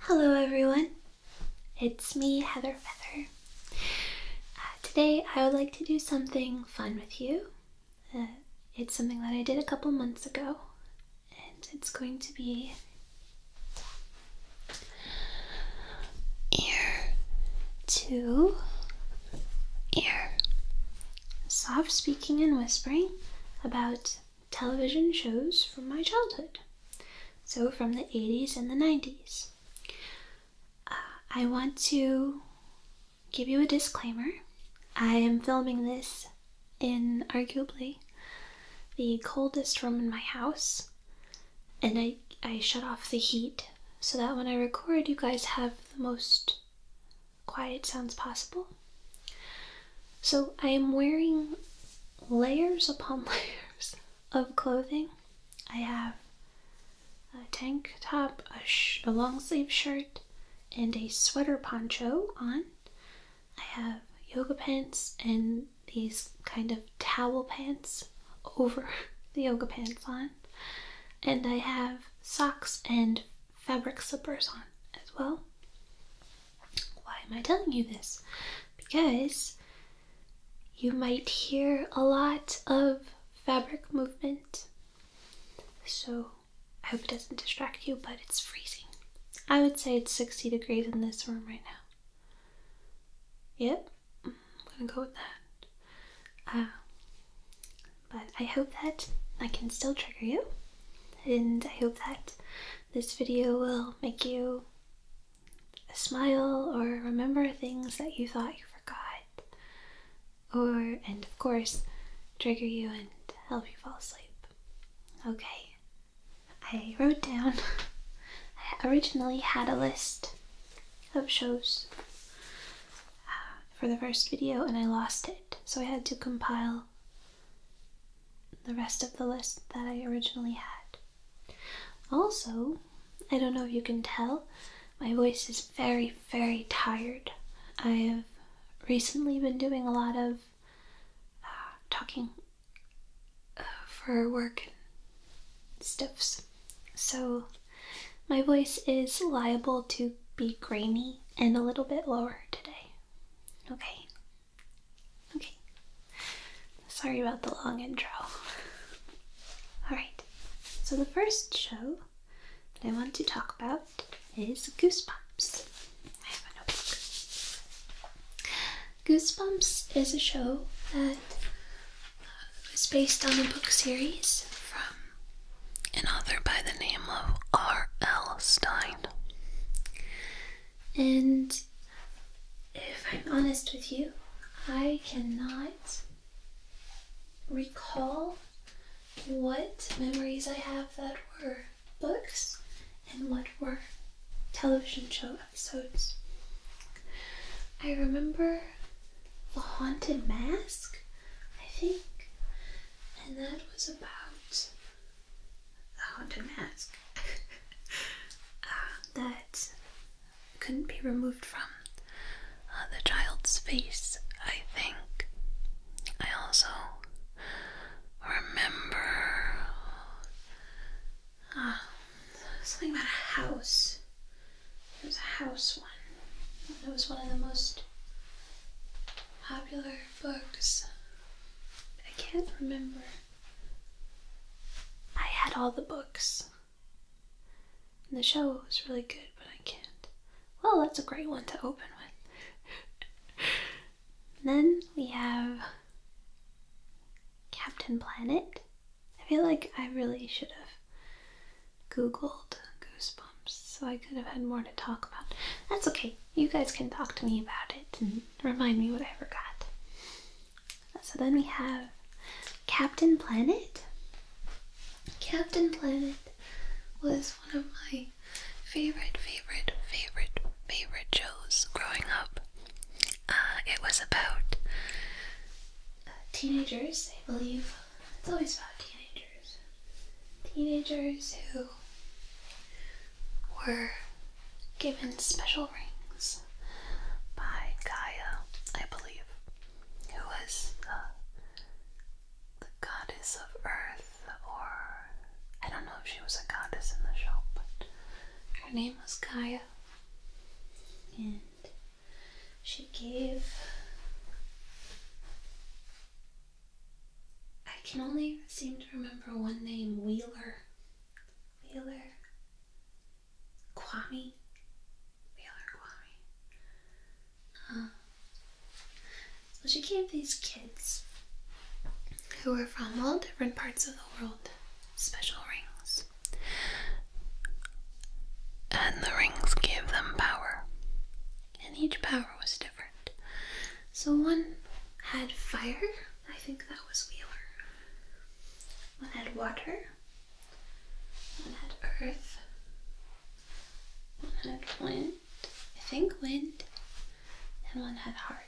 Hello, everyone. It's me, Heather Feather. Uh, today, I would like to do something fun with you. Uh, it's something that I did a couple months ago, and it's going to be ear to ear. Soft speaking and whispering about television shows from my childhood. So, from the 80s and the 90s. Uh, I want to give you a disclaimer. I am filming this in arguably the coldest room in my house and I, I shut off the heat so that when I record, you guys have the most quiet sounds possible. So I am wearing layers upon layers of clothing. I have a tank top, a, a long sleeve shirt, and a sweater poncho on. I have yoga pants and these kind of towel pants over the yoga pants on, and I have socks and fabric slippers on as well. Why am I telling you this? Because you might hear a lot of fabric movement. So I hope it doesn't distract you, but it's freezing. I would say it's 60 degrees in this room right now. Yep, I'm gonna go with that. Uh, but I hope that I can still trigger you, and I hope that this video will make you smile or remember things that you thought you forgot, or and of course, trigger you and help you fall asleep. Okay, I wrote down, I originally had a list of shows uh, for the first video and I lost it, so I had to compile the rest of the list that I originally had. Also, I don't know if you can tell, my voice is very, very tired. I have recently been doing a lot of uh, talking uh, for work and stuffs. So my voice is liable to be grainy and a little bit lower today. Okay. Okay. Sorry about the long intro. Alright, so the first show that I want to talk about is Goosebumps. Goosebumps is a show that uh, is based on a book series from an author by the name of R.L. Stein. And if I'm honest with you, I cannot recall what memories I have that were books and what were television show episodes. I remember The Haunted Mask, I think, and that was about the haunted mask um, that couldn't be removed from uh, the child's face, I think. I also remember Ah, something about a house. It was a house one. It was one of the most popular books. I can't remember. I had all the books. the show was really good, but I can't. Well, that's a great one to open with. then we have Captain Planet. I feel like I really should have googled goosebumps so I could have had more to talk about. That's okay. You guys can talk to me about it and mm-hmm. remind me what I forgot. So then we have Captain Planet. Captain Planet was one of my favorite, favorite, favorite, favorite shows growing up. Uh, it was about uh, teenagers, I believe. It's always about teenagers. Teenagers who were given special rings by Gaia, I believe, who was uh, the goddess of earth, or I don't know if she was a goddess in the show, but her name was Gaia and she gave. I can only seem to remember one name Wheeler. Wheeler. Kwame. Wheeler Kwame. Uh, so she gave these kids who were from all different parts of the world special rings. And the rings gave them power. And each power was different. So one had fire, I think that was Wheeler. One had water, one had earth, one had wind, I think wind, and one had heart.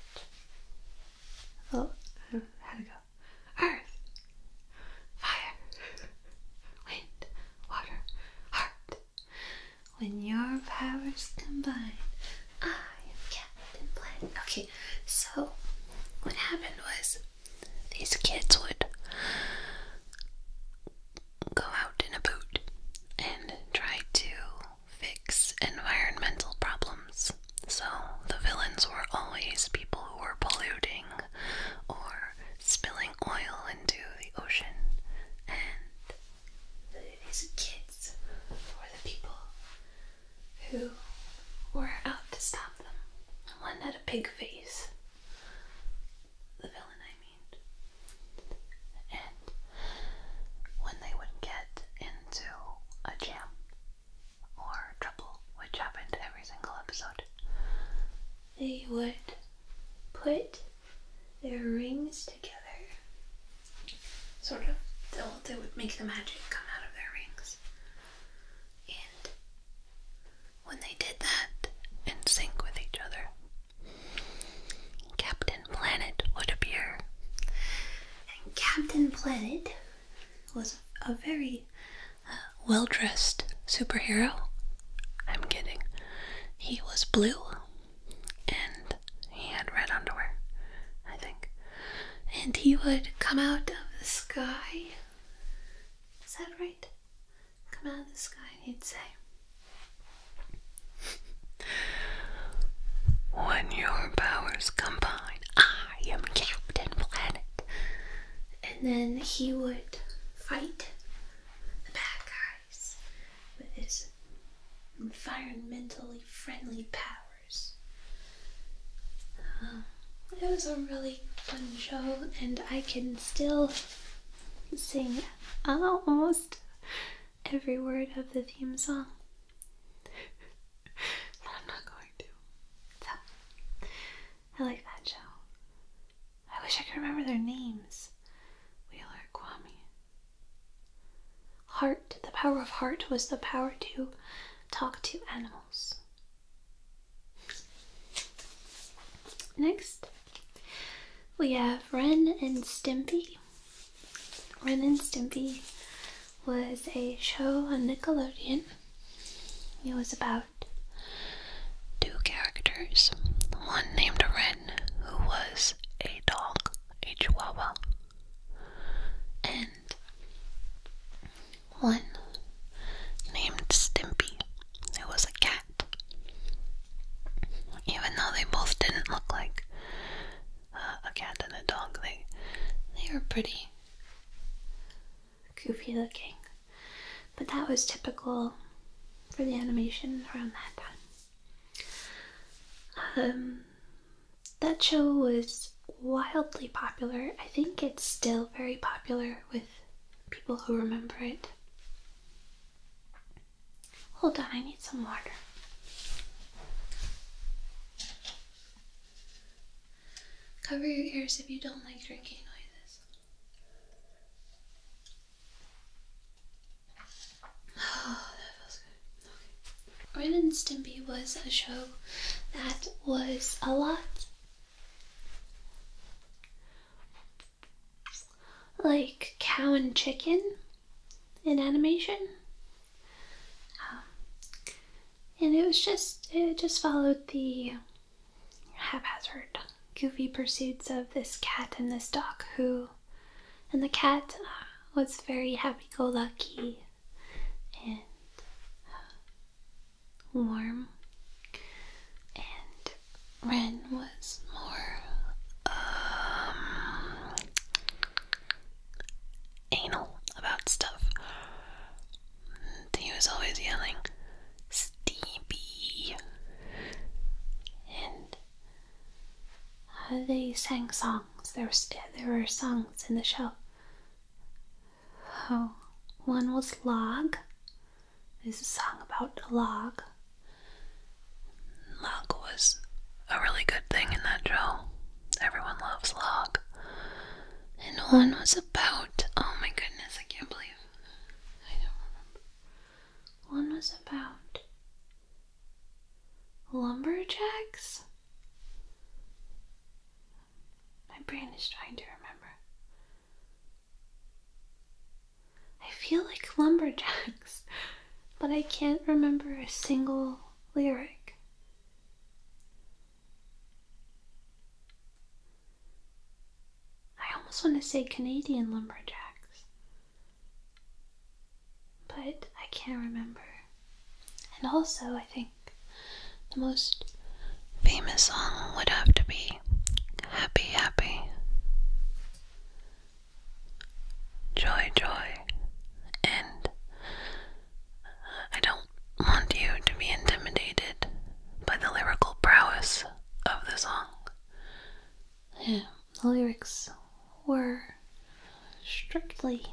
Oh, how it go? earth, fire, wind, water, heart. When your powers combine, I am Captain Planet. Okay, so what happened was these kids would go out in a boat and try to fix environmental problems so the villains were always people who were polluting or spilling oil into the ocean, and these kids were the people who were out to stop them. One had a pig face, the villain, I mean. And when they would get into a jam, or trouble, which happened every single episode, they would put their rings together. Sort of, they would make the magic come out of their rings. And when they did that in sync with each other, Captain Planet would appear. And Captain Planet was a very uh, well dressed superhero. I'm kidding. He was blue and he had red underwear, I think. And he would come out of the sky. Is that right? Come out of the sky, and he'd say, When your powers combine, I am Captain Planet. And then he would fight the bad guys with his environmentally friendly powers. Uh, it was a really fun show, and I can still sing almost every word of the theme song. but I'm not going so, I like that show. I wish I could remember their names. Wheeler, Kwame. Heart. The power of heart was the power to talk to animals. Next, we have Ren and Stimpy. Ren and Stimpy was a show on Nickelodeon. It was about two characters. One named Ren, who was a dog, a chihuahua, and one named Stimpy, who was a cat. Even though they both didn't look like uh, a cat and a dog, they they were pretty goofy looking. But that was typical for the animation around that time. Um, that show was wildly popular. I think it's still very popular with people who remember it. Hold on, I need some water. Cover your ears if you don't like drinking noises. Oh, that feels good. Okay. and Stimpy was a show that was a lot like cow and chicken in animation. Um, and it was just it just followed the haphazard, goofy pursuits of this cat and this dog who, and the cat uh, was very happy-go-lucky and uh, warm, and Ren was more um, anal about stuff. He was always yelling, Stevie. And uh, they sang songs. There, was, there were songs in the show. Oh, one was Log. This a song about log. Log was a really good thing in that show. Everyone loves Log and one was about oh my goodness, I can't believe I don't remember. One was about lumberjacks. My brain is trying to remember. I feel like lumberjacks, but I can't remember a single lyric. I almost want to say Canadian lumberjacks, but I can't remember. And also, I think the most famous song would have to be Happy Happy. Joy, joy, and I don't want you to be intimidated by the lyrical prowess of the song. Yeah, the lyrics were strictly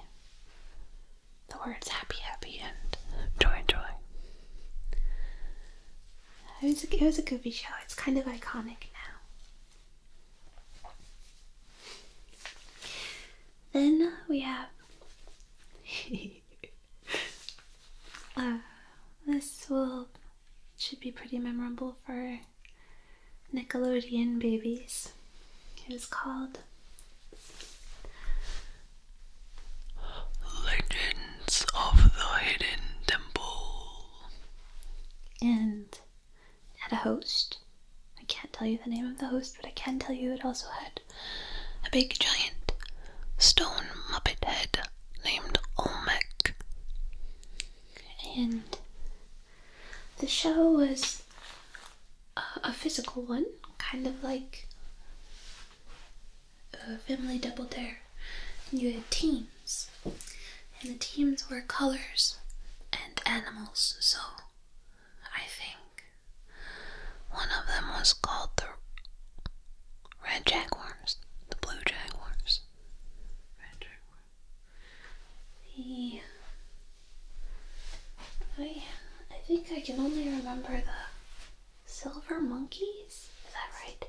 the words happy, happy, and joy, joy. It was a, it was a goofy show. It's kind of iconic now. Then we have Uh, this will should be pretty memorable for Nickelodeon babies. It is called Legends of the Hidden Temple. And had a host I can't tell you the name of the host, but I can tell you it also had a big giant stone muppet head named Olmec. And the show was a, physical one, kind of like a family double dare. And you had teams, and the teams were colors and animals. So I think. One of them was called the Red Jaguars, the Blue Jaguars. The oh, I I think I can only remember the Silver Monkeys. Is that right?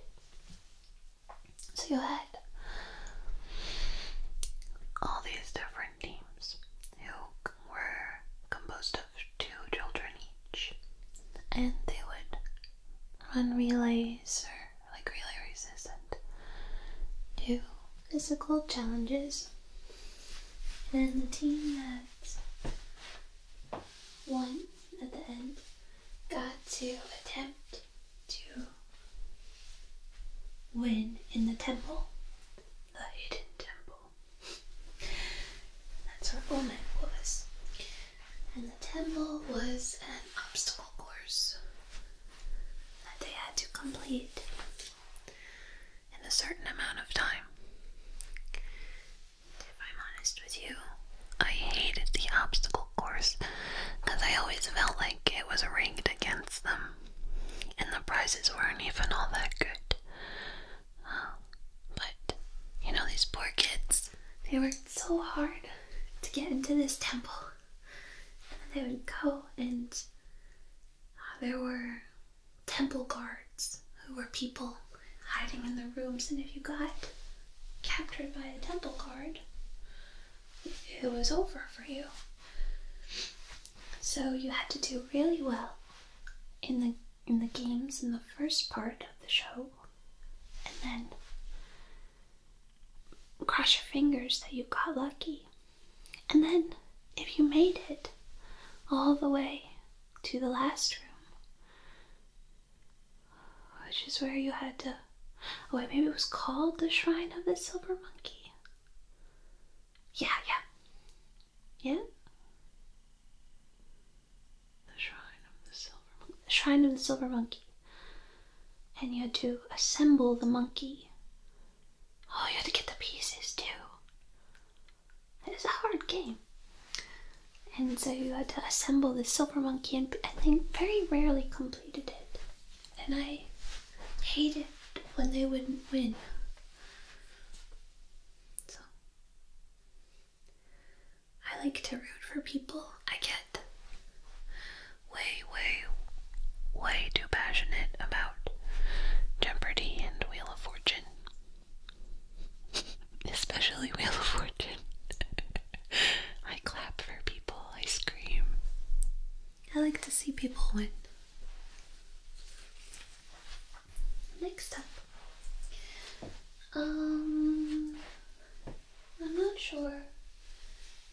So you had all these different teams who were composed two children each, and they would run relays or like relay races and do physical challenges. And the team that won at the end got to attempt to win in the temple, the hidden temple. That's where Omen was. And the temple was an obstacle course that they had to complete in a certain amount of time. If I'm honest with you, I hated the obstacle course because I always felt like it was rigged against them, and the prizes weren't even all that good. Um, but you know, these poor kids, they worked so hard to get into this temple. And they would go, and uh, there were temple guards who were people hiding in the rooms. And if you got captured by a temple guard, it was over for you. So you had to do really well in the in the games in the first part of the show and then cross your fingers that you got lucky. And then if you made it all the way to the last room, which is where you had to oh wait, maybe it was called the Shrine of the Silver Monkey. Yeah, yeah. Yeah? The Shrine of the Silver Monkey. Shrine of the Silver Monkey. And you had to assemble the monkey. Oh, you had to get the pieces too. It was a hard game. And so you had to assemble the silver monkey, and I think very rarely completed it. And I hated when they wouldn't win. So I like to root for people. I get way, way, way too passionate about Jeopardy and Wheel of Fortune. Especially Wheel of Fortune. I clap for people, I scream. I like to see people win. Next up, um, I'm not sure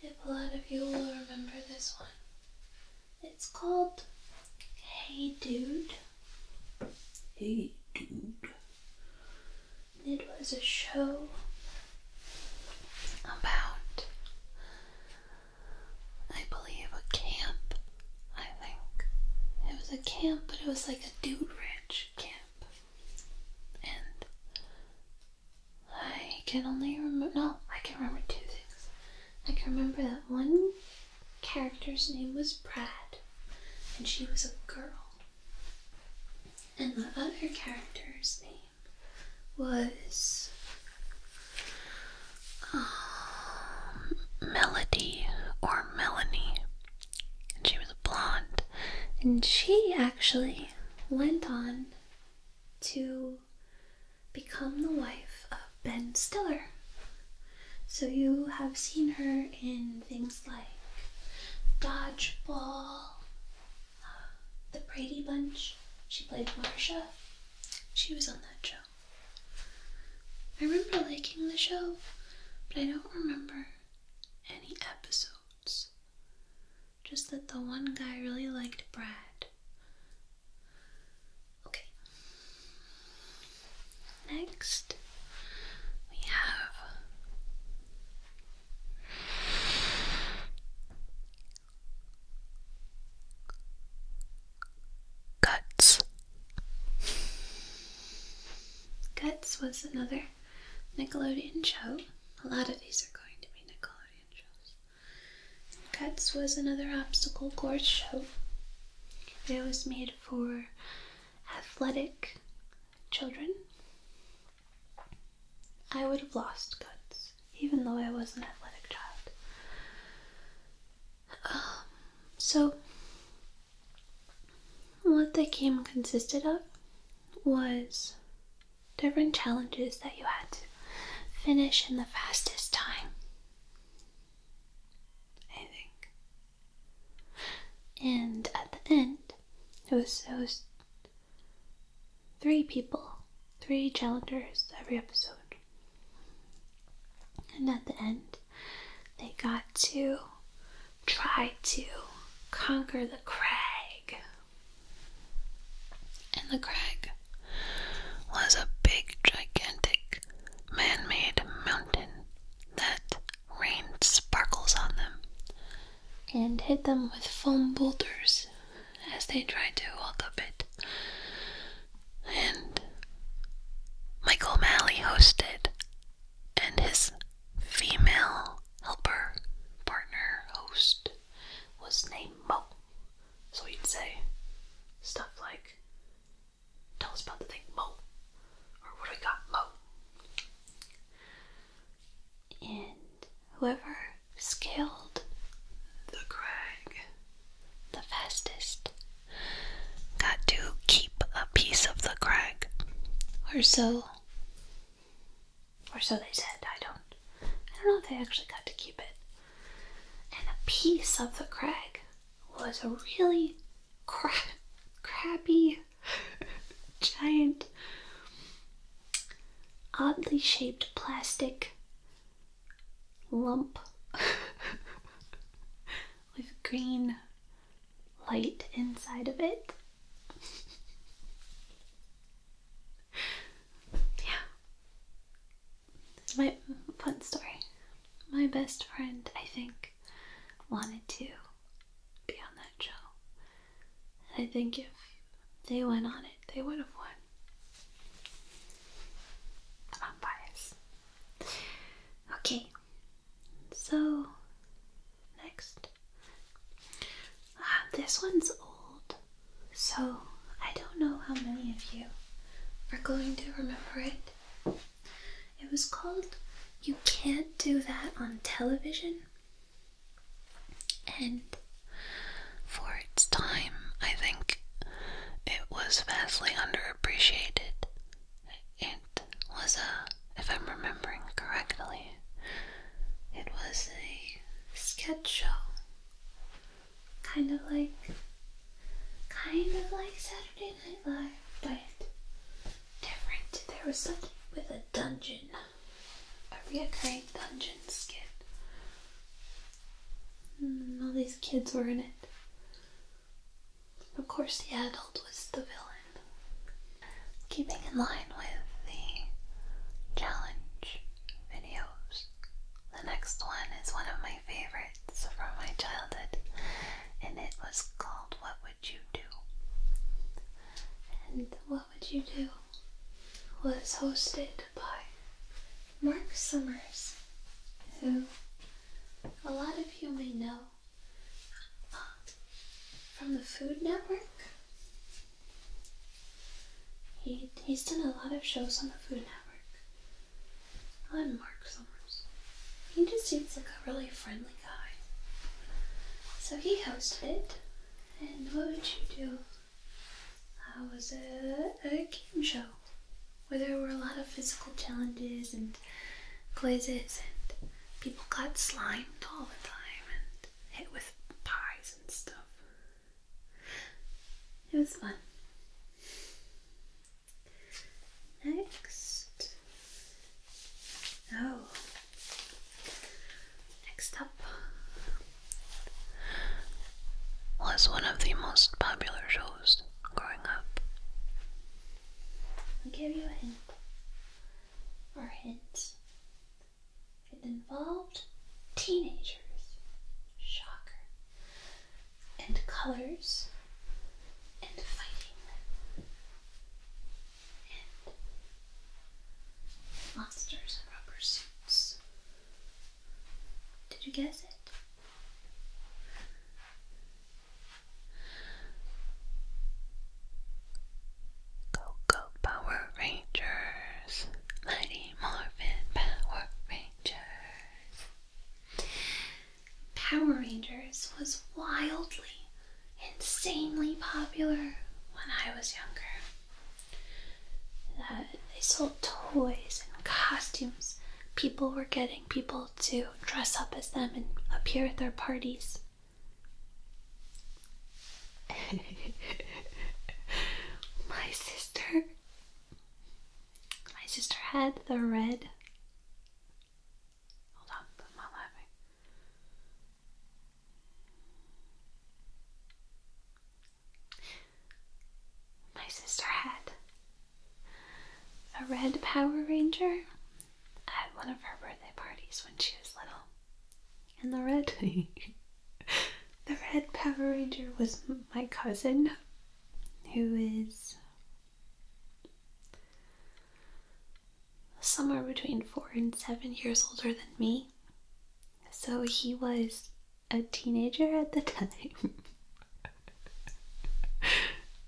if a lot of you will remember this one. It's called Hey Dude. Hey Dude. It was a show about I believe, a camp. I think it was a camp, but it was like a dude ranch camp, and I can only remember. No, I can remember two things. I can remember that one character's name was Brad, and she was a girl, and the other character's name was um, Melody or Melanie. And she was blonde. And she actually went on to become the wife of Ben Stiller. So you have seen her in things like Dodgeball, uh, The Brady Bunch. She played Marsha. She was on that show. I remember liking the show, but I don't remember any episodes. Just that the one guy really liked Brad. Okay. Next, we have. Guts. Guts was another Nickelodeon show. A lot of these are going to be Nickelodeon shows. Guts was another obstacle course show. It was made for athletic children. I would have lost guts, even though I was an athletic child so, what the game consisted of was different challenges that you had to finish in the fastest time. I think. And at the end, it was, it was three people, three challengers every episode. And at the end, they got to try to conquer the crag. And the crag was a big, gigantic, man made mountain that rained sparkles on them and hit them with foam boulders as they tried to walk up it and Michael Malley hosted, and his female helper, partner, host was named Mo. So he would say stuff like, Tell us about the thing, Mo, or what do we got, Mo? And whoever scaled the crag the fastest Got to keep a piece of the crag. Or so. Or so they said. I don't. I don't know if they actually got to keep it. And a piece of the crag was a really cra giant, oddly shaped plastic lump with green light inside of it. yeah. my fun story. My best friend, I think, wanted to be on that show. I think if they went on it, they would have won. I'm biased. Okay, so next. Ah, this one's old, so I don't know how many of you are going to remember it. It was called You Can't Do That on Television. And for its time, I think it was vastly underappreciated. It was a, if I'm remembering correctly, it was a sketch show. Kind of like, kind of like Saturday Night Live, but different. There was something with a dungeon, a recurring dungeon skit. Hmm, all these kids were in it. Of course, the adult was the villain, keeping in line with the challenge videos. The next one is one of my favorites from my childhood, and it was called What Would You Do? And What Would You Do was hosted by Mark Summers who a lot of you may know from the Food Network. He, he's done a lot of shows on the Food Network. I'm Mark Summers. He just seems like a really friendly guy. So he hosted it. And what would you do? I was a, a game show where there were a lot of physical challenges and quizzes, and people got slimed all the time and hit with pies and stuff. It was fun. Next, oh, next up was one of the most popular shows growing up. I'll give you a hint or hint It involved teenagers. Shocker. And colors. And fighting. And monsters in rubber suits. Did you guess it? Coco Power Rangers, Mighty Morphin Power Rangers. Power Rangers was wildly, insanely popular when I was younger. they sold toys and costumes. People were getting people to dress up as them and appear at their parties. my sister. My sister had the red. Hold on, I'm laughing. My sister had a red Power Ranger at one of her birthday parties when she was little. And the red, the red Power Ranger was my cousin, who is somewhere between four and seven years older than me. So he was a teenager at the time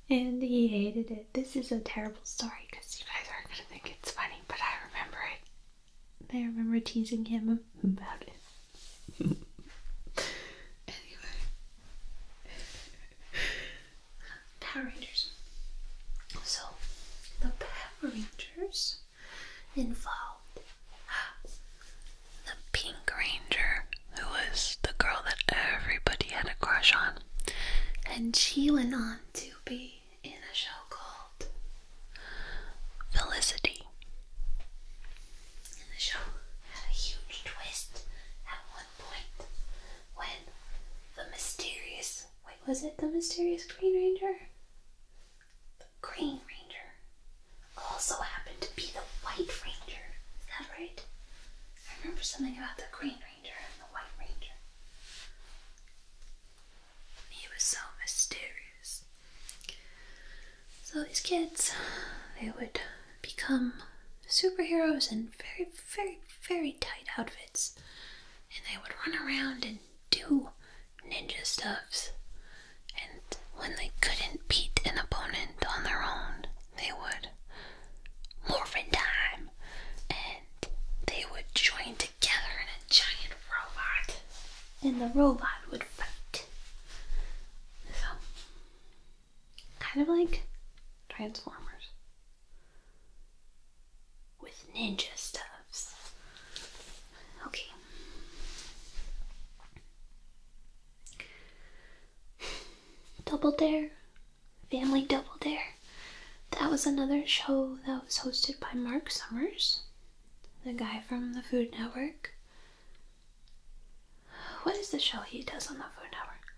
and he hated it. This is a terrible story because you guys aren't gonna think it's funny, but I remember it. I remember teasing him about it. anyway, Power Rangers. So the Power Rangers involved the Pink Ranger, who was the girl that everybody had a crush on, and she went on to be in a show called Felicity. And the show had a huge twist at one point when the mysterious wait, was it the mysterious Green Ranger? The Green Ranger also happened to be the White Ranger. Is that right? I remember something about the Green Ranger and the White Ranger. He was so mysterious. So these kids, they would become superheroes in very, very, very tight outfits, and they would run around and do ninja stuffs. And when they couldn't beat an opponent on their own, they would morph in time and they would join together in a giant robot and the robot would fight. So, kind of like Transformers with ninja stuffs. Okay. Double Dare, Family Double Dare. That was another show that was hosted by Mark Summers, the guy from the Food Network. What is the show he does on the Food Network?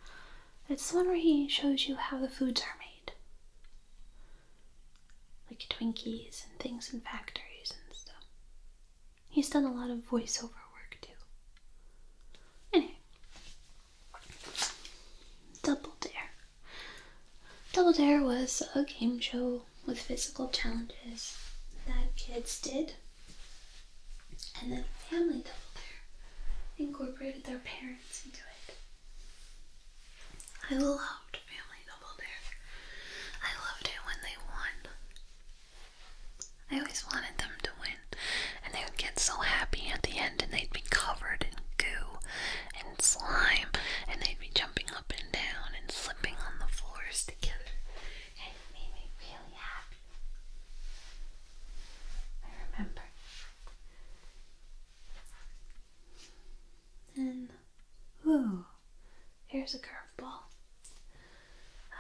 It's the one where he shows you how the foods are made. Like Twinkies and things in factories and stuff. He's done a lot of voiceover work too. Anyway, Double Dare. Double Dare was a game show with physical challenges that kids did, and then Family Double Dare incorporated their parents into it. I loved Family Double Dare. I loved it when they won. I always wanted them to win, and they would get so happy at the end, and they'd be covered in goo and slime, and they'd be jumping up and down and slipping on the floors together, and it made me really happy. I remember. And, whoo, here's a curveball.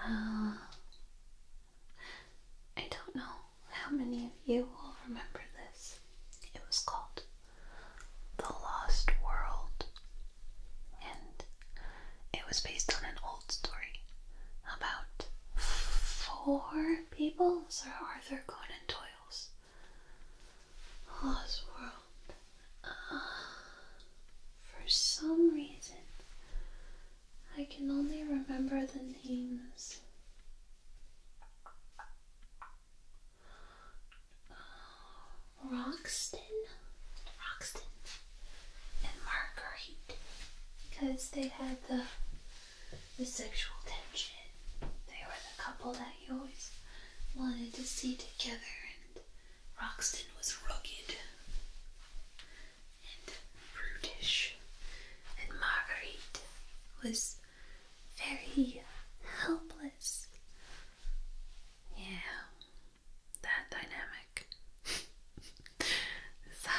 Uh, I don't know how many of you will remember this. It was called The Lost World, and it was based on an old story about four people, Sir Arthur Conan Doyle's Lost World. Uh, for some reason, I can only remember the names. Roxton, Roxton, and Margaret, because they had the the sexual tension. They were the couple that you always wanted to see together, and Roxton was rugged, and brutish, and Marguerite was very helpless. Yeah, that dynamic. so,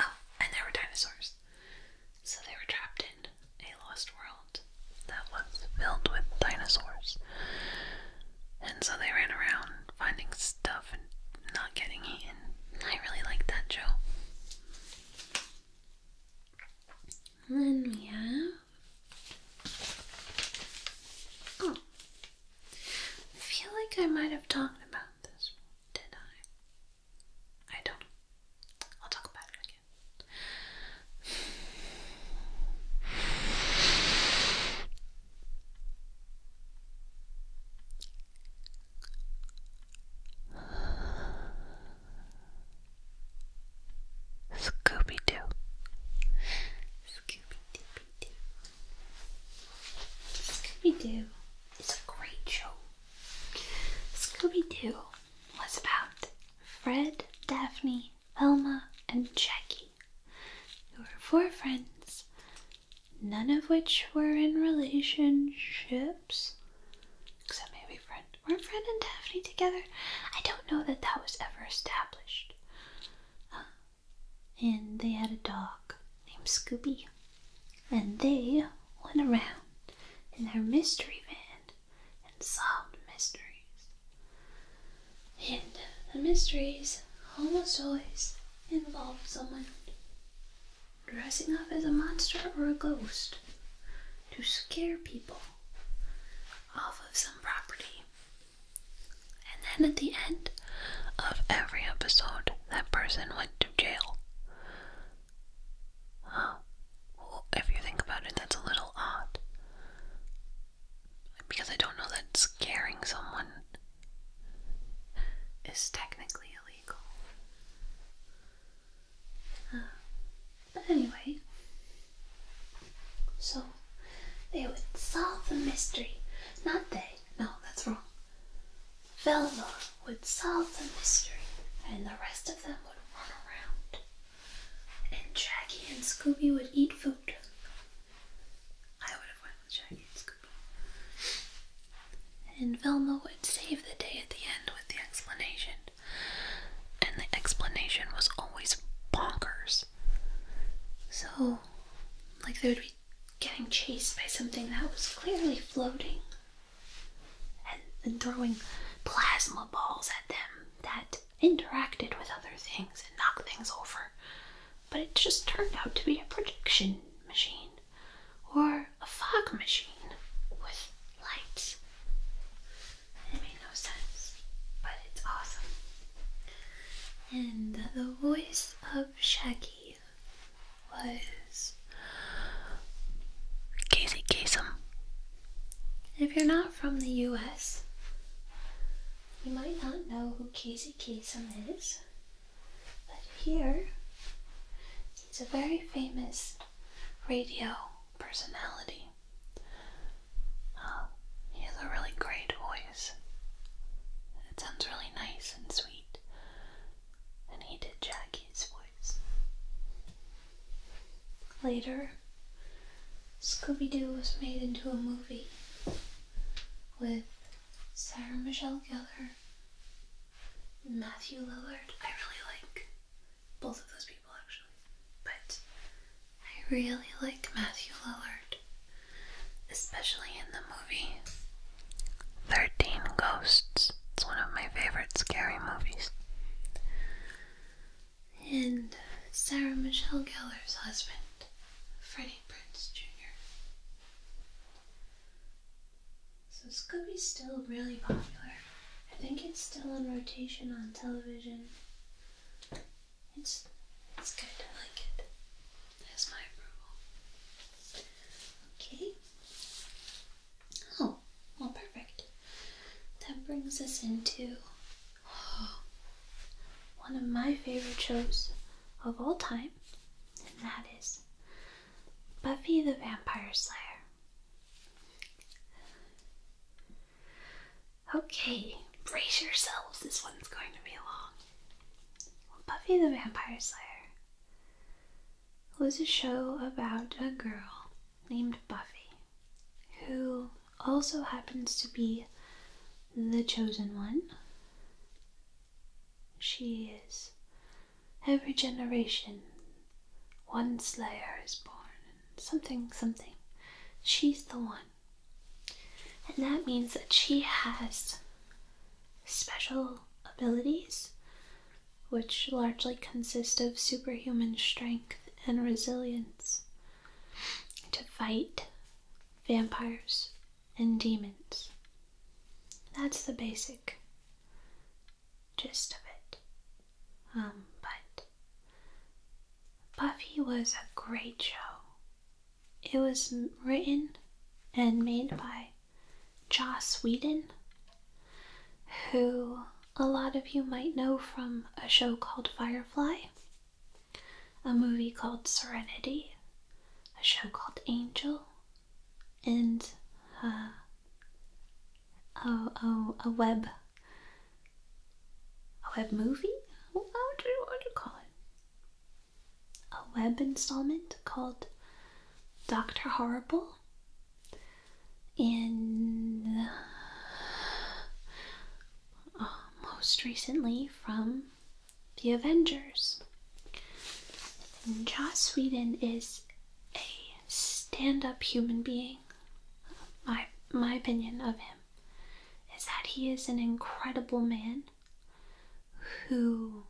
oh, and there were dinosaurs. So they were trapped in a lost world that was filled with dinosaurs. And so they ran around finding stuff and not getting eaten. I really like that Joe. And then we Oh I feel like I might have talked about this did I? I don't I'll talk about it again. Scooby Doo. Scooby Doo. Scooby Doo is a great show. Scooby Doo was about Fred, Daphne, Velma, and Jackie, who were four friends none of which were in relationships. Except maybe friend. Were Fred and Daphne together? I don't know that that was ever established. Uh, and they had a dog named Scooby. And they went around in their mystery van and solved mysteries. And the mysteries almost always Involved someone dressing up as a monster or a ghost to scare people off of some property. And then at the end of every episode, that person went to jail. if you think about it, that's a little odd. Because I don't know that scaring someone is technically illegal. Uh, but anyway, so they would solve the mystery. Not they, no, that's wrong. Velma would solve the mystery, and the rest of them would run around. And Jackie and Scooby would eat food. I would have went with Jackie and Scooby scoop. And Velma would save the day at the end with the explanation. And the explanation was always bonkers. So, like, they would be getting chased by something that was clearly floating and, and throwing plasma balls at them that interacted with other things and knocked things over but it just turned out to be a projection machine or a fog machine with lights. It made no sense, but it's awesome. And the voice of Shaggy was Casey Kasem. If you're not from the US, you might not know who Casey Kasem is. But here is a very famous radio personality. Um, he has a really great voice. It sounds really nice and sweet. And he did Jackie's voice. Later, Scooby Doo was made into a movie with Sarah Michelle Gellar, Matthew Lillard. I really like both of those people actually, but I really like Matthew Lillard, especially in the movie 13 Ghosts. It's one of my favorite scary movies. And Sarah Michelle Gellar's husband, Freddie Prince Jr. So Scooby's still really popular. I think it's still in rotation on television. It's it's good. I like it. That's my approval. Okay. Oh, well, perfect. That brings us into one of my favorite shows of all time and that is Buffy the Vampire Slayer. Okay, brace yourselves, this one's going to be long. Buffy the Vampire Slayer was a show about a girl named Buffy who also happens to be the chosen one she is. Every generation, one slayer is born. Something, something. She's the one. And that means that she has special abilities, which largely consist of superhuman strength and resilience to fight vampires and demons. That's the basic gist of it. Um, but Buffy was a great show. It was written and made by Joss Whedon, who a lot of you might know from a show called Firefly, a movie called Serenity, a show called Angel, and uh, a, a, web a web movie. What do you, what do call it? A web installment called Doctor Horrible, and uh, most recently from the Avengers. Josh Sweden is a stand-up human being. My my opinion of him is that he is an incredible man who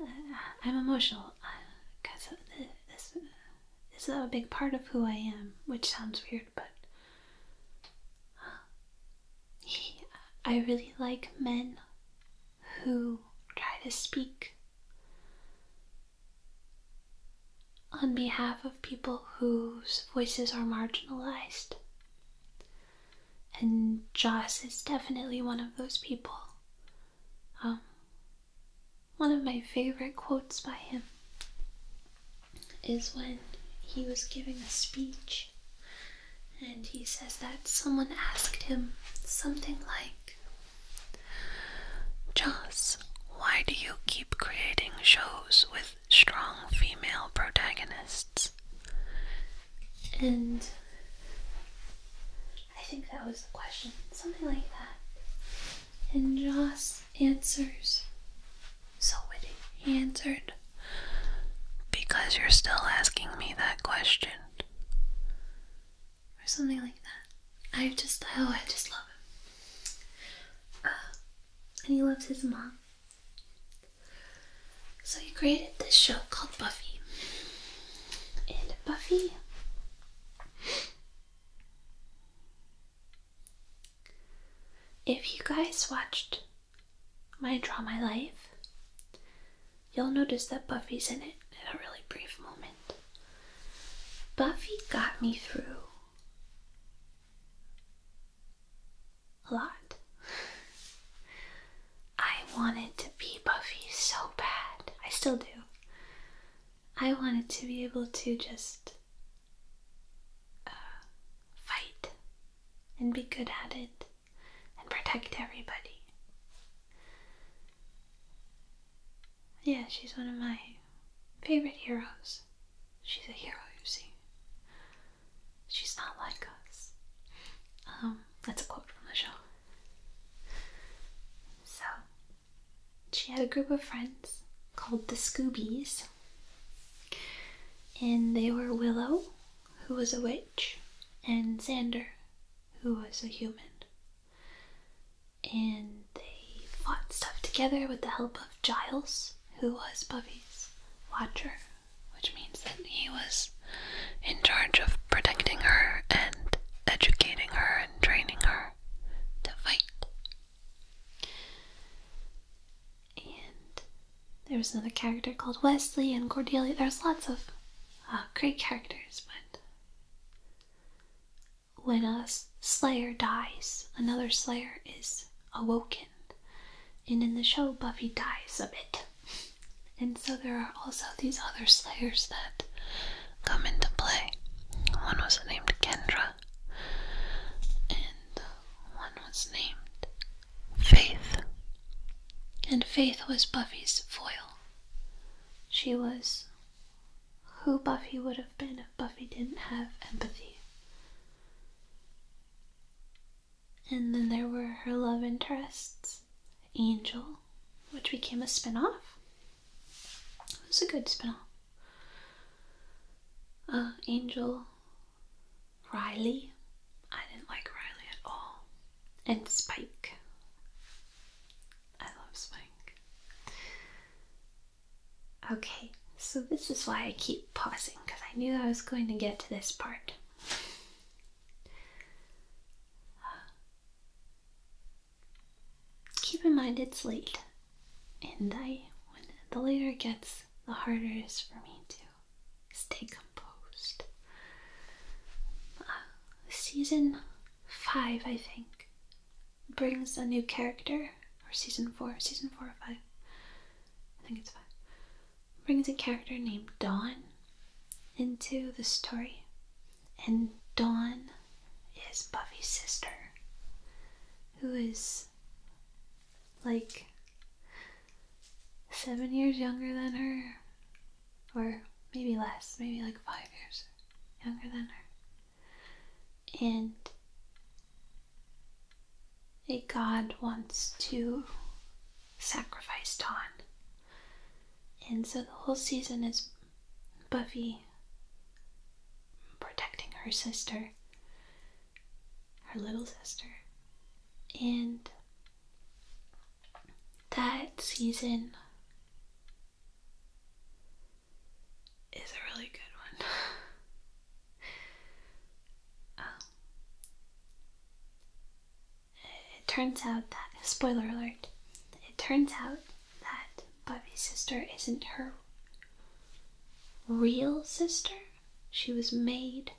uh, I'm emotional because uh, this is a big part of who I am, which sounds weird, but I really like men who try to speak on behalf of people whose voices are marginalized. And Joss is definitely one of those people. Um, one of my favorite quotes by him is when he was giving a speech and he says that someone asked him something like, Joss, why do you keep creating shows with strong female protagonists? And I think that was the question, something like that. And Joss answers. So witty. He answered, Because you're still asking me that question. Or something like that. I just, oh, I just love him. Uh, and he loves his mom. So he created this show called Buffy. And Buffy if you guys watched my Draw My Life, you'll notice that Buffy's in it in a really brief moment. Buffy got me through a lot. I wanted to be Buffy so bad. I still do. I wanted to be able to just uh, fight and be good at it and protect everybody. Yeah, she's one of my favorite heroes. She's a hero, you see. She's not like us. Um, that's a quote from the show. So, she had a group of friends called the Scoobies, and they were Willow, who was a witch, and Xander, who was a human. And they fought stuff together with the help of Giles, who was Buffy's watcher, which means that he was in charge of protecting her and educating her and training her to fight and there was another character called Wesley and Cordelia. There's lots of uh, great characters, but when a slayer dies, another slayer is awoken. And in the show, Buffy dies a bit. And so there are also these other slayers that come into play. One was named Kendra, and one was named Faith. And Faith was Buffy's foil. She was who Buffy would have been if Buffy didn't have empathy. And then there were her love interests Angel, which became a spinoff. It was a good spinoff. Uh, Angel, Riley. I didn't like Riley at all. And Spike. I love Spike. Okay, so this is why I keep pausing because I knew I was going to get to this part. Keep in mind it's late and I, the later gets, the harder it is for me to stay composed. Uh, season five, I think, brings a new character, or season four, season four or five, I think it's five, brings a character named Dawn into the story, and Dawn is Buffy's sister, who is like seven years younger than her, or maybe less, maybe like five years younger than her. And a god wants to sacrifice Dawn. And so the whole season is Buffy protecting her sister, her little sister. And that season is a really good one. um, it turns out that, spoiler alert, it turns out that Buffy's sister isn't her real sister. She was made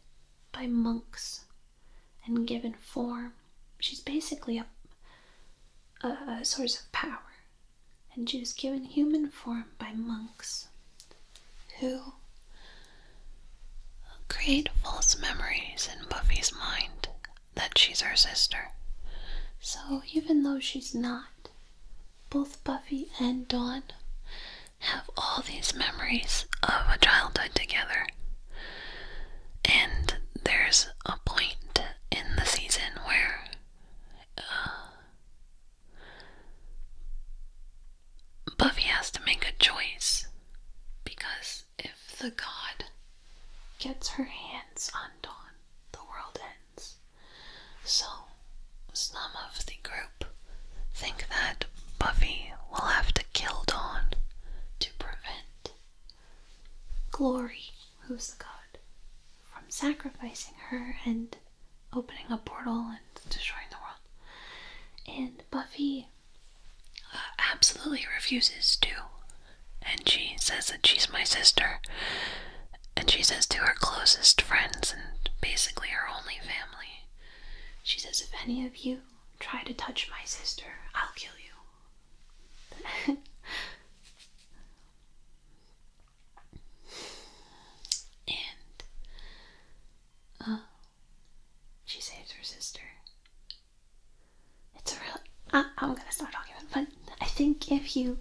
by monks and given form. She's basically a, a source of power. And she was given human form by monks who create false memories in Buffy's mind that she's her sister. So even though she's not, both Buffy and Dawn have all these memories of a childhood together. And there's a point in the season where uh, Buffy has to make a choice because if the god gets her hands on Dawn, the world ends. So, some of the group think that Buffy will have to kill Dawn to prevent Glory, who's the god, from sacrificing her and opening a portal and destroying the world. And Buffy uh, absolutely refuses to. And she says that she's my sister and she says to her closest friends and basically her only family, she says, If any of you try to touch my sister, I'll kill you. and oh, she saves her sister. It's a real. I, am gonna start talking but I think if you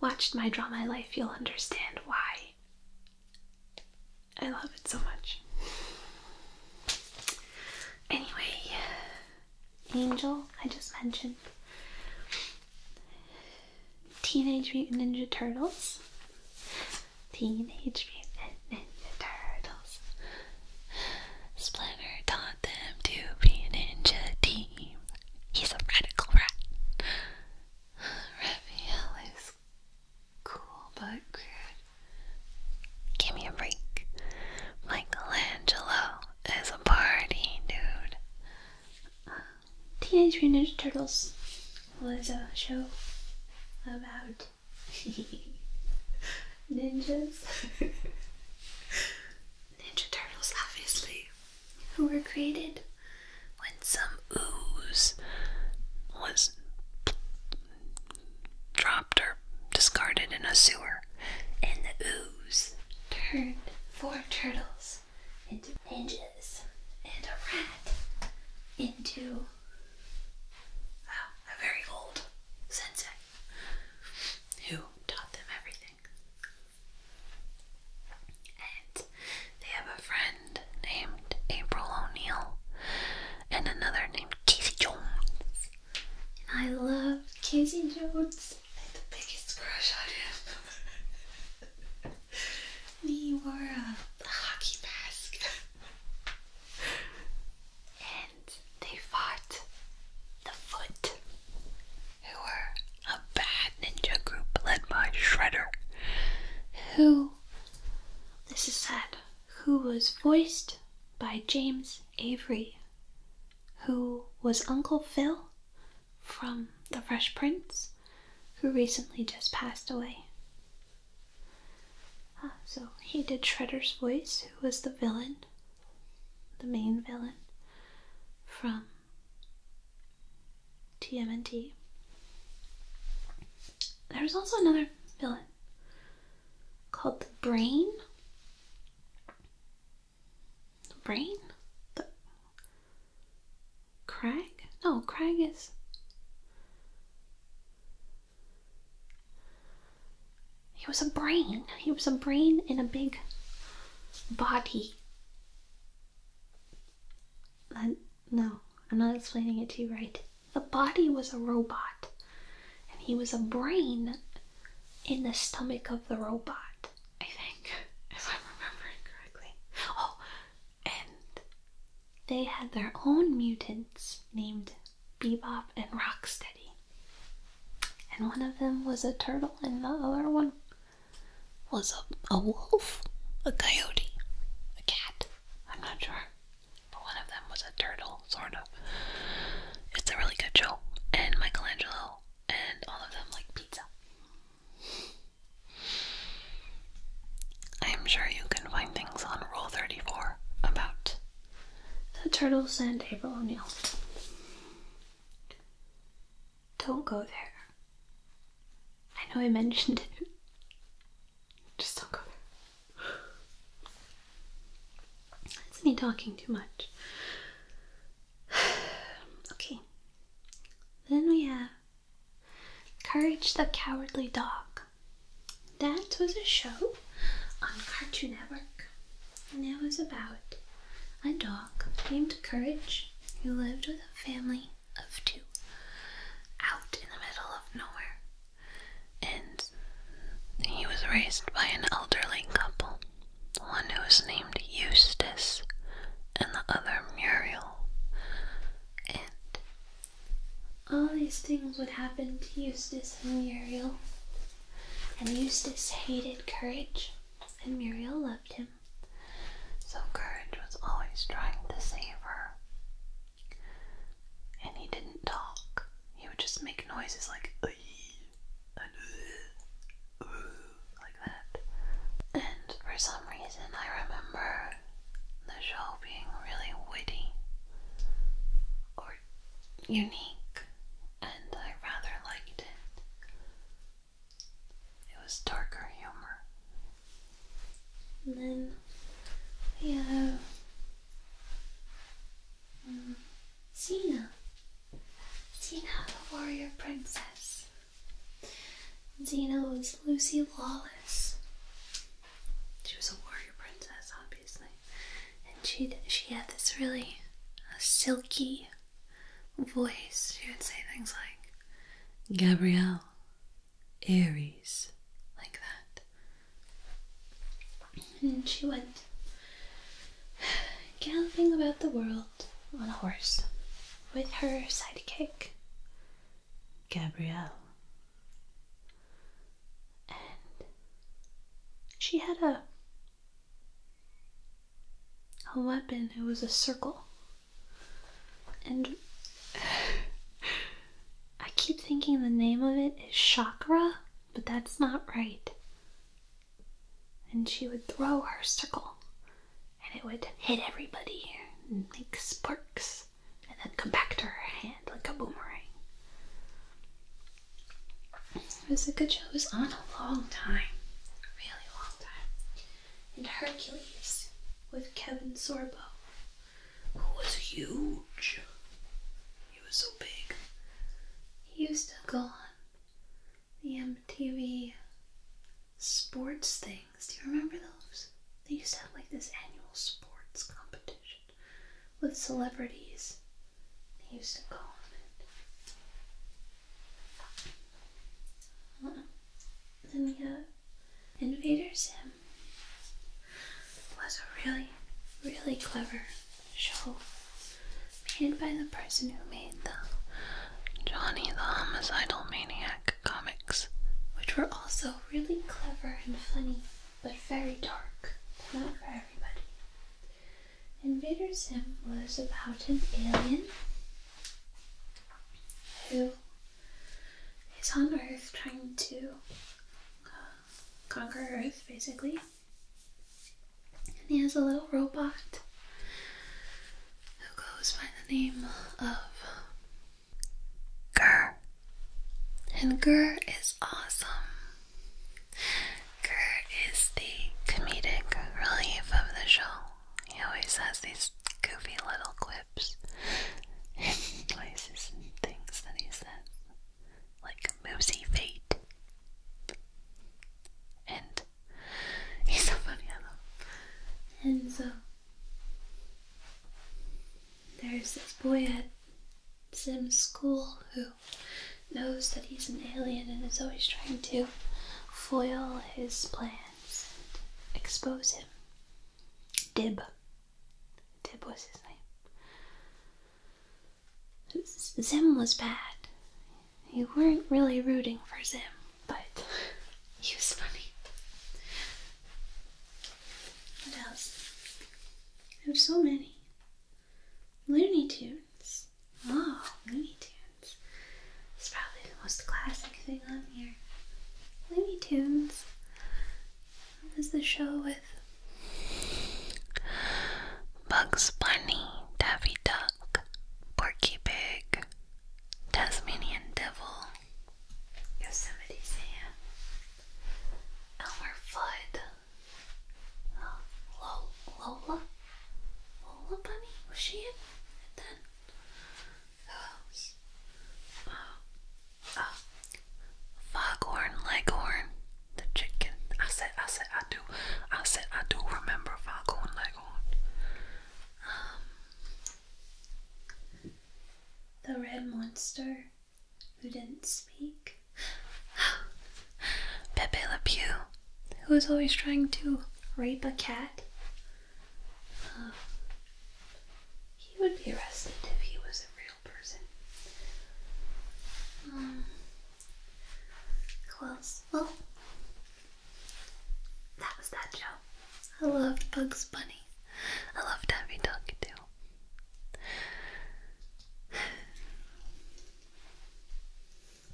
watched my Draw My Life, you'll understand why. I love it so much. Anyway, Angel, I just mentioned. Teenage Mutant Ninja Turtles. Teenage Mutant Ninja Turtles. Splinter taught them to be a ninja team. He's a radical rat. Raphael cool but Give me a break. Michelangelo is a party dude. Teenage Mutant Ninja Turtles was a show about ninjas. Ninja Turtles, obviously who were created when some ooze was dropped or discarded in a sewer, and the ooze turned four turtles into ninjas and a rat into a very old sensei who taught them everything. And they have a friend named April O'Neil and another named Casey Jones. And I love Casey Jones. I had the biggest crush on him. he wore a hockey mask. and they fought the foot who were a bad ninja group led by Shredder, who, this is sad, who was voiced by James Avery, who was Uncle Phil from The Fresh Prince, who recently just passed away. Ah, so he did Shredder's voice, who was the villain, the main villain from TMNT. There's also another villain called the Brain. The Brain? The Crag? No, Crag is. He was a brain. He was a brain in a big body no, I'm not explaining it to you right. The body was a robot, and he was a brain in the stomach of the robot, I think, if I'm remembering correctly. Oh, and they had their own mutants named Bebop and Rocksteady. And one of them was a turtle, and the other one was a, a wolf, a coyote, a cat. I'm not sure. But one of them was a turtle, sort of. It's a really good show. And Michelangelo and all of them like pizza. I'm sure you can find things on Rule 34 about the turtles and April O'Neil. Don't go there. I know I mentioned it. Just don't go there. That's me talking too much. okay. Then we have Courage the Cowardly Dog. That was a show on Cartoon Network, and it was about a dog named Courage who lived with a family of two out in the middle of nowhere. And he was raised by an elderly couple, one who was named Eustace and the other Muriel. And all these things would happen to Eustace and Muriel. And Eustace hated Courage, and Muriel loved him him, so Courage was always trying to save her. And he didn't talk, he would just make noises like and like that. And for some reason, I remember the show being really witty or unique, and I rather liked it. It was darker humor. And then yeah, have um, the warrior princess. Xena was Lucy Lawless. She was a warrior princess, obviously, and she she had this really uh, silky voice, she would say things like, Gabrielle, Aries, like that. And she went galloping about the world on a horse with her sidekick, Gabrielle. And she had a a weapon, it was a circle. And I keep thinking the name of it is chakra, but that's not right. And she would throw her circle and it would hit everybody and make sparks and then come back to her hand like a boomerang. It was a good show. It was on a long time. really long time and Hercules with Kevin Sorbo, who was huge. He was so big. He used to go on the MTV sports things. Do you remember those? They used to have like this annual sports competition with celebrities. They used to go on it. Then we have Invader Sim. Was a really, really clever show made by the person who made the Johnny the Homicidal Maniac comics, which were also really clever and funny, but very dark. Not for everybody. Invader Sim was about an alien who is on Earth trying to uh, conquer Earth, basically. And he has a little robot who goes by the name of Gurr. And Gurr is awesome. Gurr is the comedic relief of the show. He always has these goofy little quips and places and things that he says, like moosey fate. And he's so funny, I love And so there's this boy at Sim school who knows that he's an alien and is always trying to foil his plan expose him. Dib. Dib was his name. Zim was bad. You weren't really rooting for Zim, but he was funny. What else? There's so many. Looney Tunes. Oh, Looney Tunes. It's probably the most classic thing on here. Looney Tunes. This is the show with Bugs Bunny, Daffy Duck, Porky Pig, Tasmanian Devil, Yosemite Sam, Elmer Fudd, Lola, Lola Bunny, was she in it who oh, oh, oh. Leghorn, the chicken. I said, I said, I do. I said, I do remember Foghorn Leghorn. Um, the red monster who didn't speak. Pepe Le Pew, who is always trying to rape a cat uh, he would be arrested if he was a real person. Um, close. Well, that was that show. I loved Bugs Bunny. I loved Happy Dog too.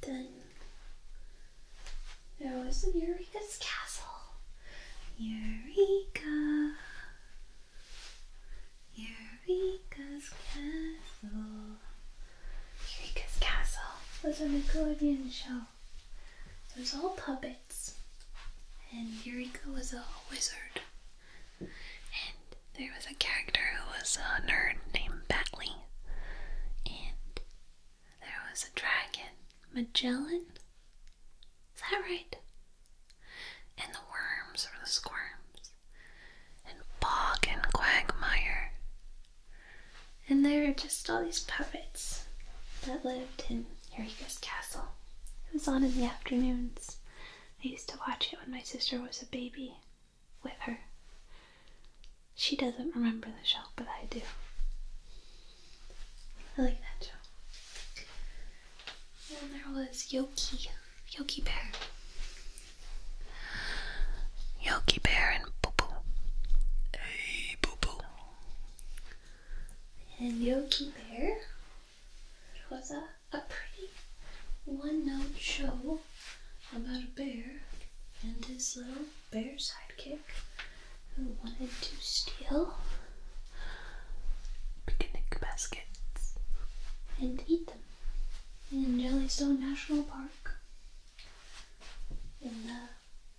Then There was Eureka's castle. Eureka. Eureka's castle. Eureka's castle was a Nickelodeon show. It was all puppets, and Eureka was a wizard. And there was a character who was a nerd named Batley, and there was a dragon, Magellan. Is that right? And the worms or the squirms. And Bog and Quagmire. And there were just all these puppets that lived in Eureka's castle. It was on in the afternoons. I used to watch it when my sister was a baby with her. She doesn't remember the show, but I do. I like that show. And there was Yoki, Yoki Bear. Yoki Bear and Boo Boo. Hey, Boo And Yogi Bear was a, a pretty one note show about a bear and his little bear sidekick who wanted to steal picnic baskets and eat them in Jellystone National Park. And the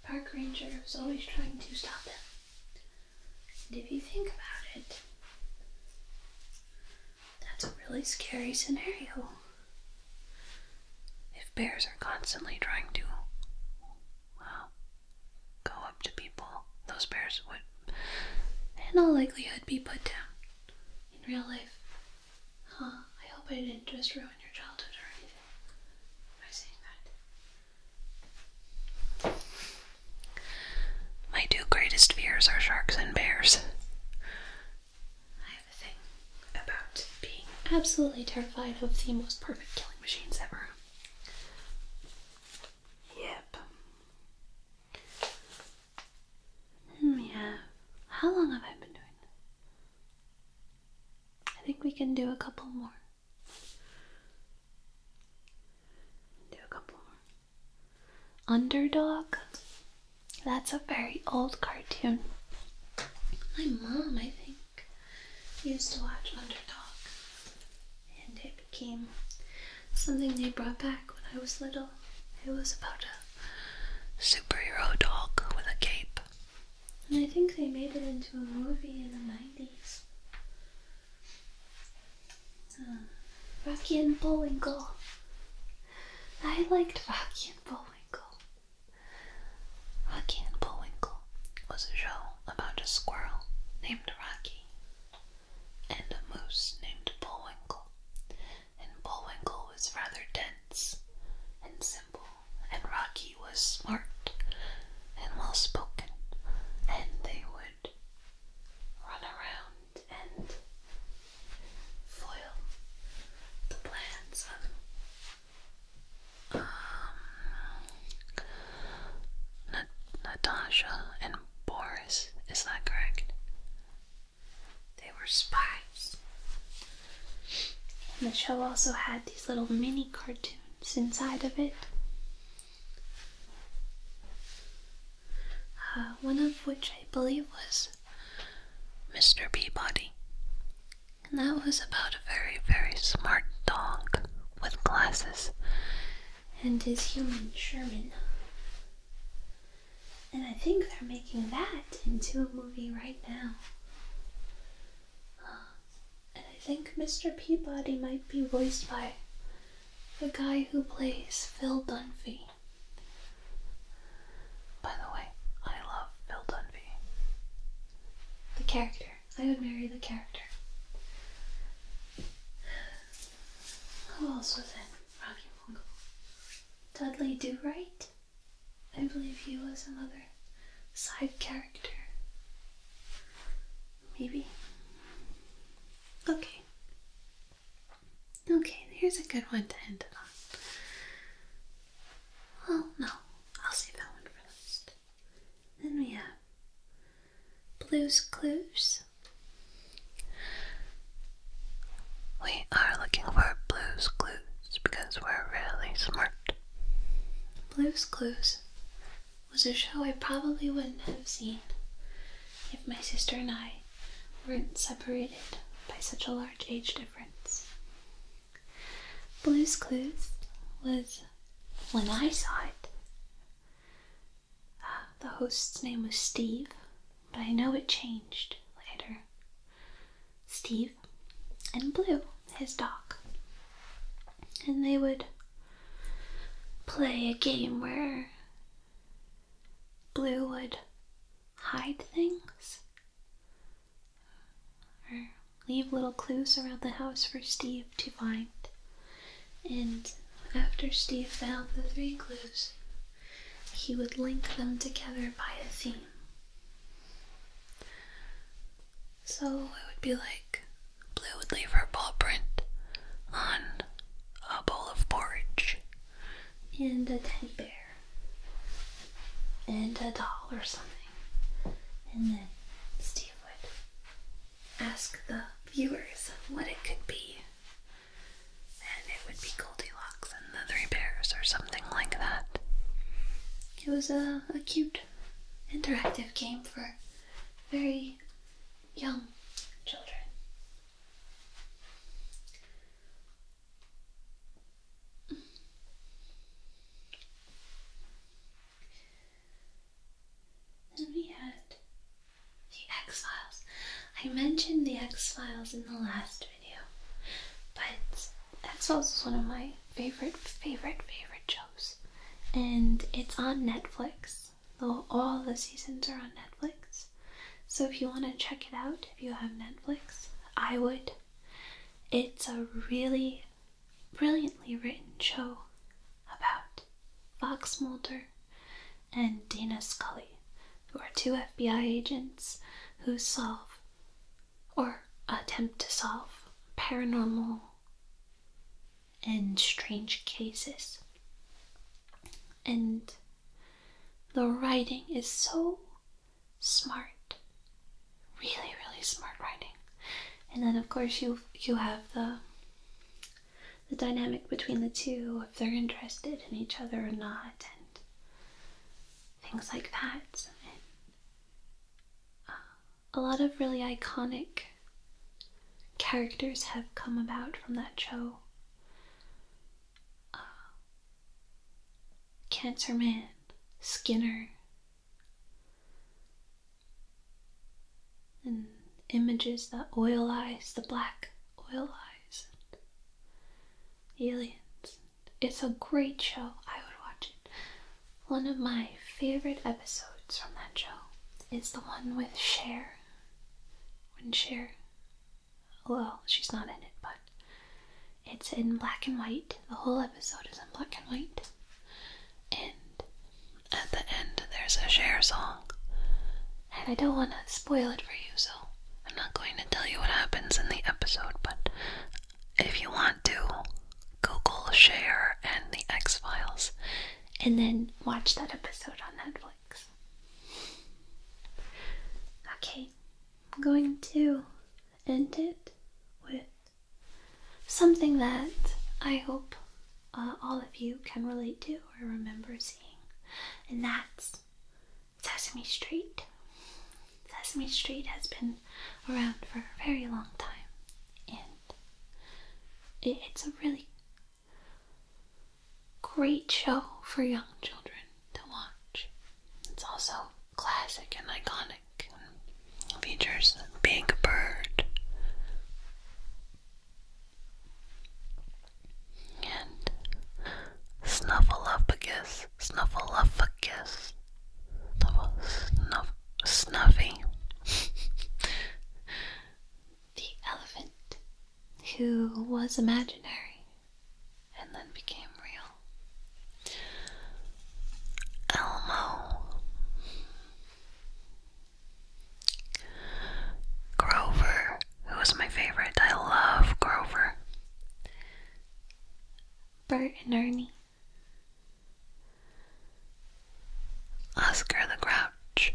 park ranger was always trying to stop them. And if you think about it, that's a really scary scenario. If bears are constantly trying to, well, go up to people, those bears would, in all likelihood, be put down in real life. Huh, I hope I didn't just ruin your childhood or anything by saying that. My two greatest fears are sharks and bears. I have a thing about being absolutely terrified of the most perfect killing machines ever. Yep. Hmm, yeah. How long have I been doing this? I think we can do a couple more. Do a couple more. Underdog? That's a very old cartoon. My mom, I think, used to watch Underdog, and it became something they brought back when I was little. It was about a superhero dog with a cape. And I think they made it into a movie in the 90s. Uh, Rocky and Bullwinkle. I liked Rocky and Bullwinkle. Rocky and Bullwinkle was a show about a squirrel named Rocky and a moose named Bullwinkle. And Bullwinkle was rather dense and simple, and Rocky was smart and well spoken, and they would run around and foil the plans of um, Natasha and Boris. Is that correct? They were spies. And the show also had these little mini cartoons inside of it. Uh, one of which I believe was Mr. Peabody and that was about a very, very smart dog with glasses and his human Sherman. And I think they're making that into a movie right now. Uh, and I think Mr. Peabody might be voiced by the guy who plays Phil Dunphy. By the way, I love Phil Dunphy. The character. I would marry the character. Who else was in Rocky Mongol? Dudley Do Right? I believe he was another side character. Maybe. Okay. Okay, here's a good one to end it on. Well, no, I'll save that one for last. Then we have Blue's Clues. We are looking for Blue's Clues because we're really smart. Blue's Clues was a show I probably wouldn't have seen if my sister and I weren't separated by such a large age difference. Blue's Clues was, when I saw it, uh, the host's name was Steve, but I know it changed later. Steve and Blue, his dog. And they would play a game where Blue would hide things or leave little clues around the house for Steve to find. And after Steve found the three clues, he would link them together by a theme. So it would be like Blue would leave her paw print on a bowl of porridge, and a teddy bear, and a doll or something and then Steve would ask the viewers what it could be. And it would be Goldilocks and the Three Bears or something like that. It was a, a cute, interactive game for very young children. Then we had the X Files. I mentioned the X Files in the last video, but X Files is one of my favorite, favorite, favorite shows, and it's on Netflix. Though all the seasons are on Netflix, so if you want to check it out, if you have Netflix, I would. It's a really brilliantly written show about Fox Mulder and Dana Scully, who are two FBI agents who solve or attempt to solve paranormal and strange cases. And the writing is so smart, really, really smart writing. And then, of course, you you have the the dynamic between the two, if they're interested in each other or not, and things like that. Uh, a lot of really iconic characters have come about from that show. Uh, Cancer Man, Skinner, and images that oil eyes, the black oil eyes, aliens. It's a great show. I would watch it. One of my favorite episodes from that show is the one with Share. When Share, well, she's not in it, but it's in black and white. The whole episode is in black and white. And at the end, there's a share song. And I don't want to spoil it for you, so I'm not going to tell you what happens in the episode, but if you want to, Google Share and the X Files and then watch that episode on Netflix. Okay, I'm going to end it with something that I hope uh, all of you can relate to or remember seeing, and that's Sesame Street. Sesame Street has been around for a very long time, and it's a really great show for young children to watch. It's also classic and iconic features Big Bird and Snuffleupagus, Snuffleupagus, Snuff, Snuffy, the elephant who was imaginary and then became real. Elmo, Grover, who my favorite. I love Grover. Bert and Ernie. Oscar the Grouch.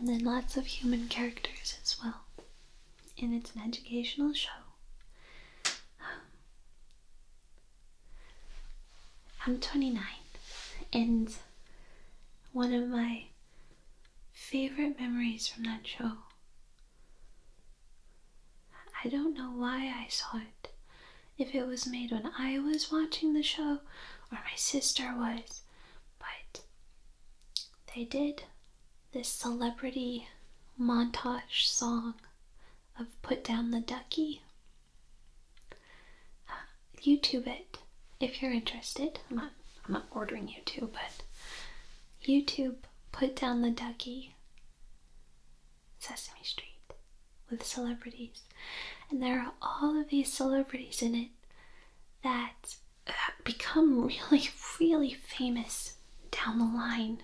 And then lots of human characters as well. And it's an educational show. I'm 29, and one of my favorite memories from that show. I don't know why I saw it. If it was made when I was watching the show or my sister was, but they did this celebrity montage song of Put Down the Ducky. YouTube it if you're interested. I'm not, I'm not ordering you to, but YouTube Put Down the Ducky Sesame Street with celebrities. And there are all of these celebrities in it that uh, become really, really famous down the line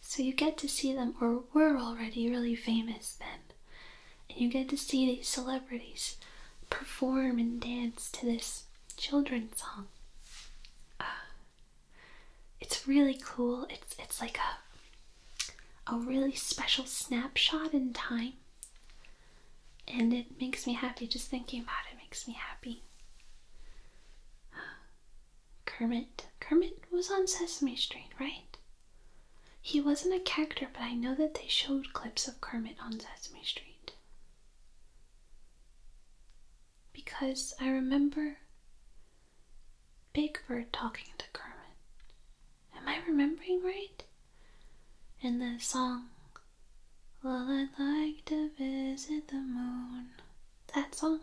so you get to see them, or were already really famous then. And you get to see these celebrities perform and dance to this children's song. Ah, it's really cool. It's it's like a a really special snapshot in time. And it makes me happy. Just thinking about it makes me happy. Kermit. Kermit was on Sesame Street, right? He wasn't a character, but I know that they showed clips of Kermit on Sesame Street. Because I remember Big Bird talking to Kermit. Am I remembering right? In the song, Well, I'd like to visit the moon. That song?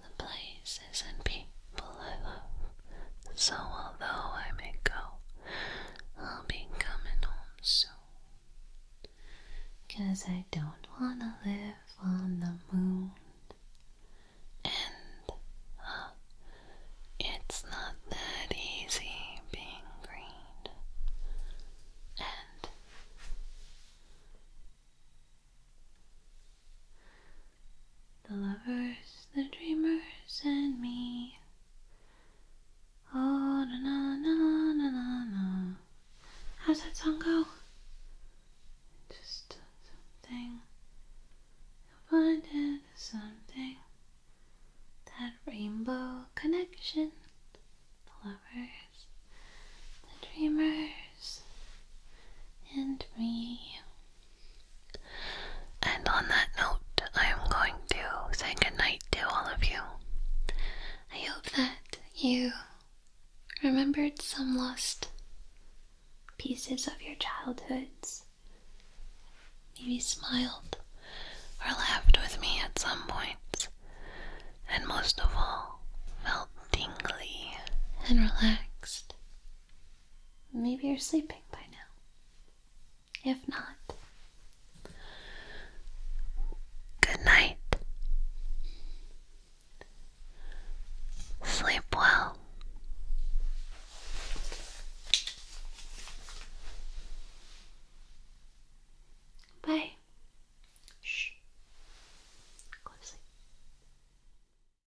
the places and people I love. So although I may go, I'll be coming home soon. Cause I don't wanna live on the moon. And uh, it's not that easy being green. And the lovers, the dreamers, and me. Oh, na na na na na na. How's that song go? Just something. You'll find it something. That rainbow connection. The lovers, the dreamers, and me. And on that note, I am going to say goodnight to all of you. I hope that you remembered some lost pieces of your childhoods. Maybe smiled or laughed with me at some points, and most of all, felt dingly and relaxed Maybe you're sleeping by now. If not, good night. Sleep well. Bye. Shh. Go to sleep.